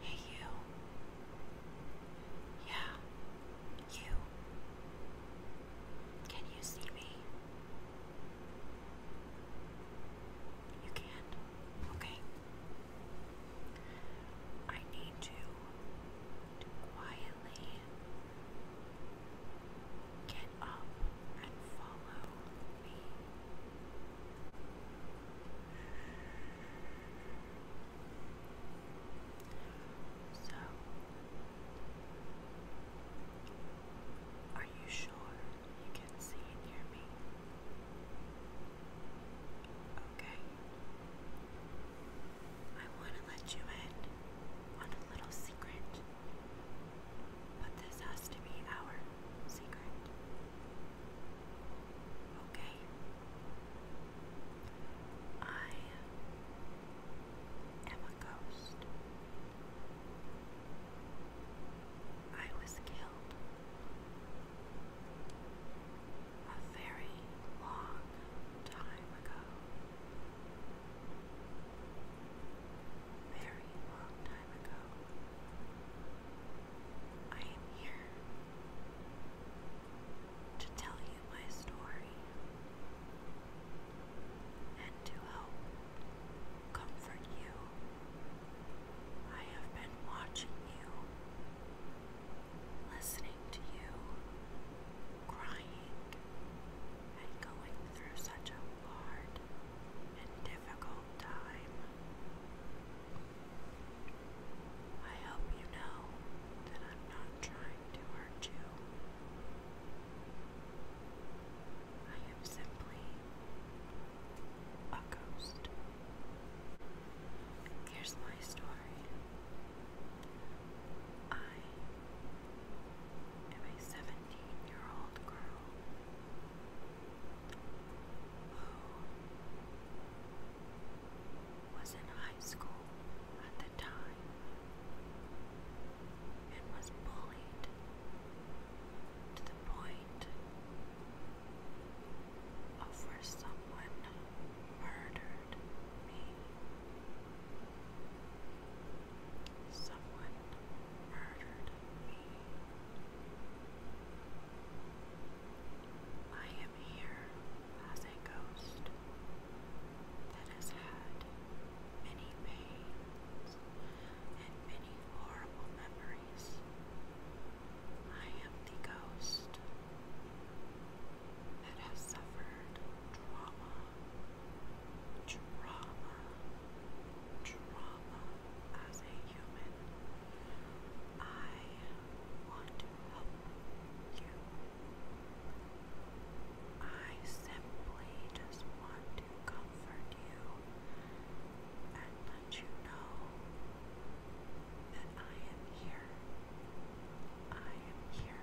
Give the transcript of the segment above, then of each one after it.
Hey, you. Yeah, you. Can you see me? You can Okay. I need you quiet really get up and follow me. So, are you sure you can see and me? Okay. I want to let you in on a little secret, but this has to be our secret. Okay? I am a ghost. I was killed a very long time ago very long time ago. I am here to tell you my story and to help comfort you. I have been watching you, listening to you, crying and going through such a hard and difficult time. I hope you know that I'm not trying to hurt you. I am simply a ghost. Here's my story. I am a 17 year old girl who was in high school at the time and was bullied to the point of where someone murdered me. Someone murdered me. I am here as a ghost that has had many pains and many horrible memories. I am the ghost that have suffered trauma, trauma, trauma as a human. I want to help you. I simply just want to comfort you and let you know that I am here. I am here.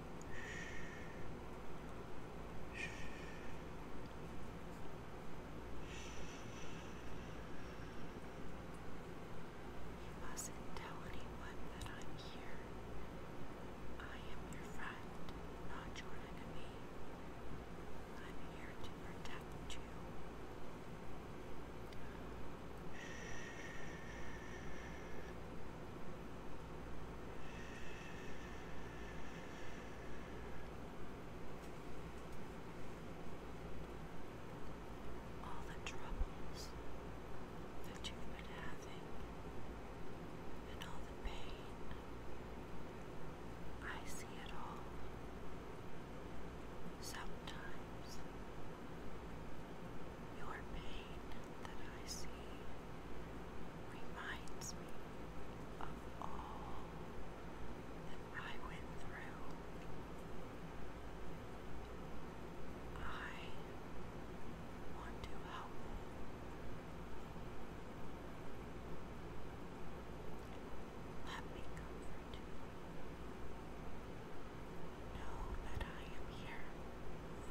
You mustn't tell anyone that I'm here. I am your friend, not your enemy. I'm here to protect you. All the troubles that you've been having and all the pain, I see it all. Sometimes your pain that I see reminds me of all that I went through, I want to help. Let me comfort you. Know that I am here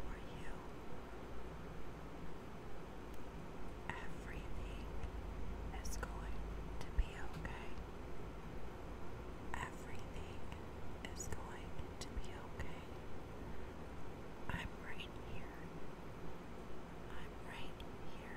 for you. Everything is going to be okay. Everything is going to be okay. I'm right here. I'm right here.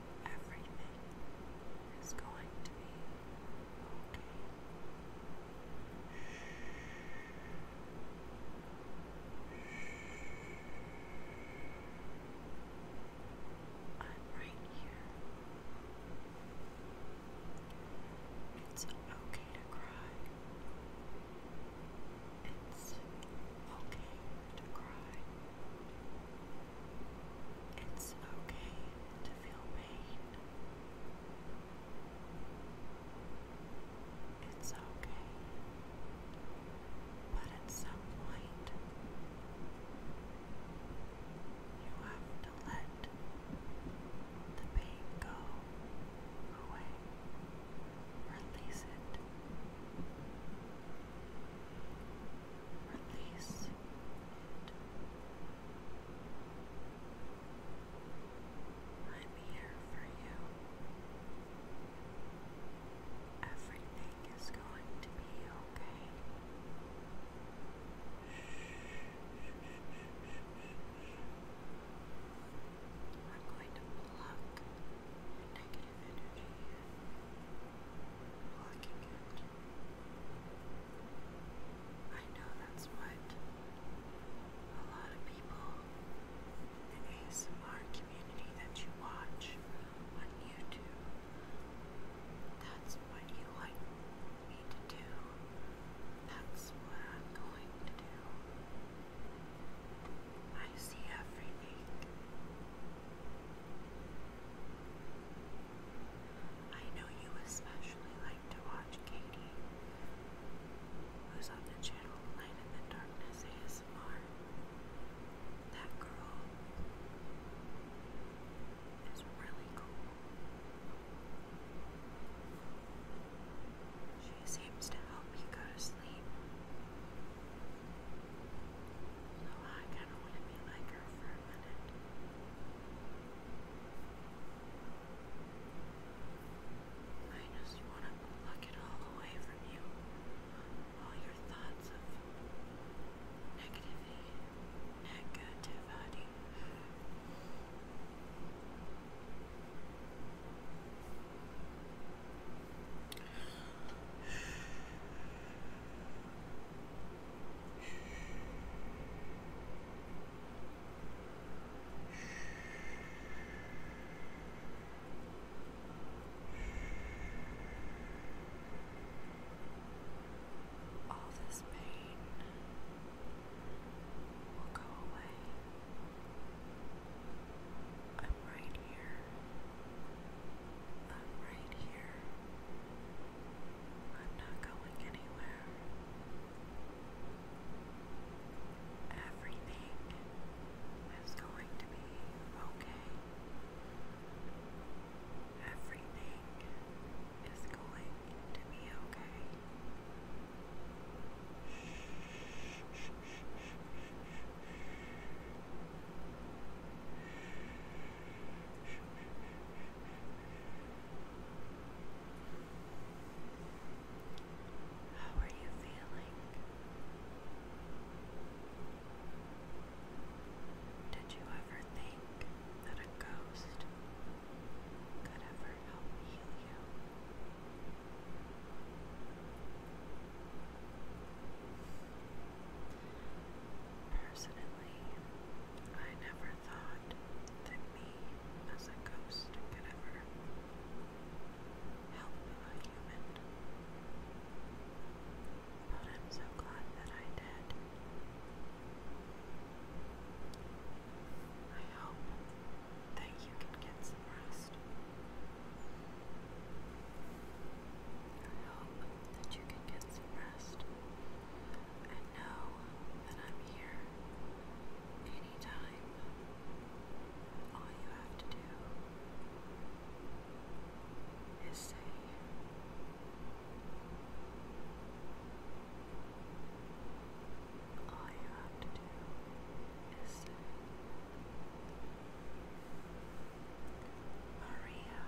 Everything is going to be okay. I'm right here. It's okay to cry. It's okay to cry. It's okay to feel pain. It's okay. But at some point, you have to let the pain go away, release it release I'm here for you. Everything is going to be okay. I'm going to pluck your negative energy I know that's what a lot of people in the ASMR community that you watch on YouTube, that's what you like me to do. That's what I'm going to do. I see everything. I know you especially like to watch Katie, who's on the channel Light in the Darkness ASMR. That girl is really cool. She seems to help you go to sleep. Although I want to be it all away from you. All your thoughts of negativity, negativity. I all this pain will go away. I'm right here. I'm right here. I'm not going anywhere. Everything is going to be okay. Everything is going to be okay. Shh, how are you feeling? Did you ever think that a ghost could ever help heal you? Personally, I never thought that me as a ghost could ever help a human. But I'm so glad that I did. I hope that you can get some rest. I hope that you can can rest. And know that I'm here anytime. All you have to do is say, all you have to do is say, Maria,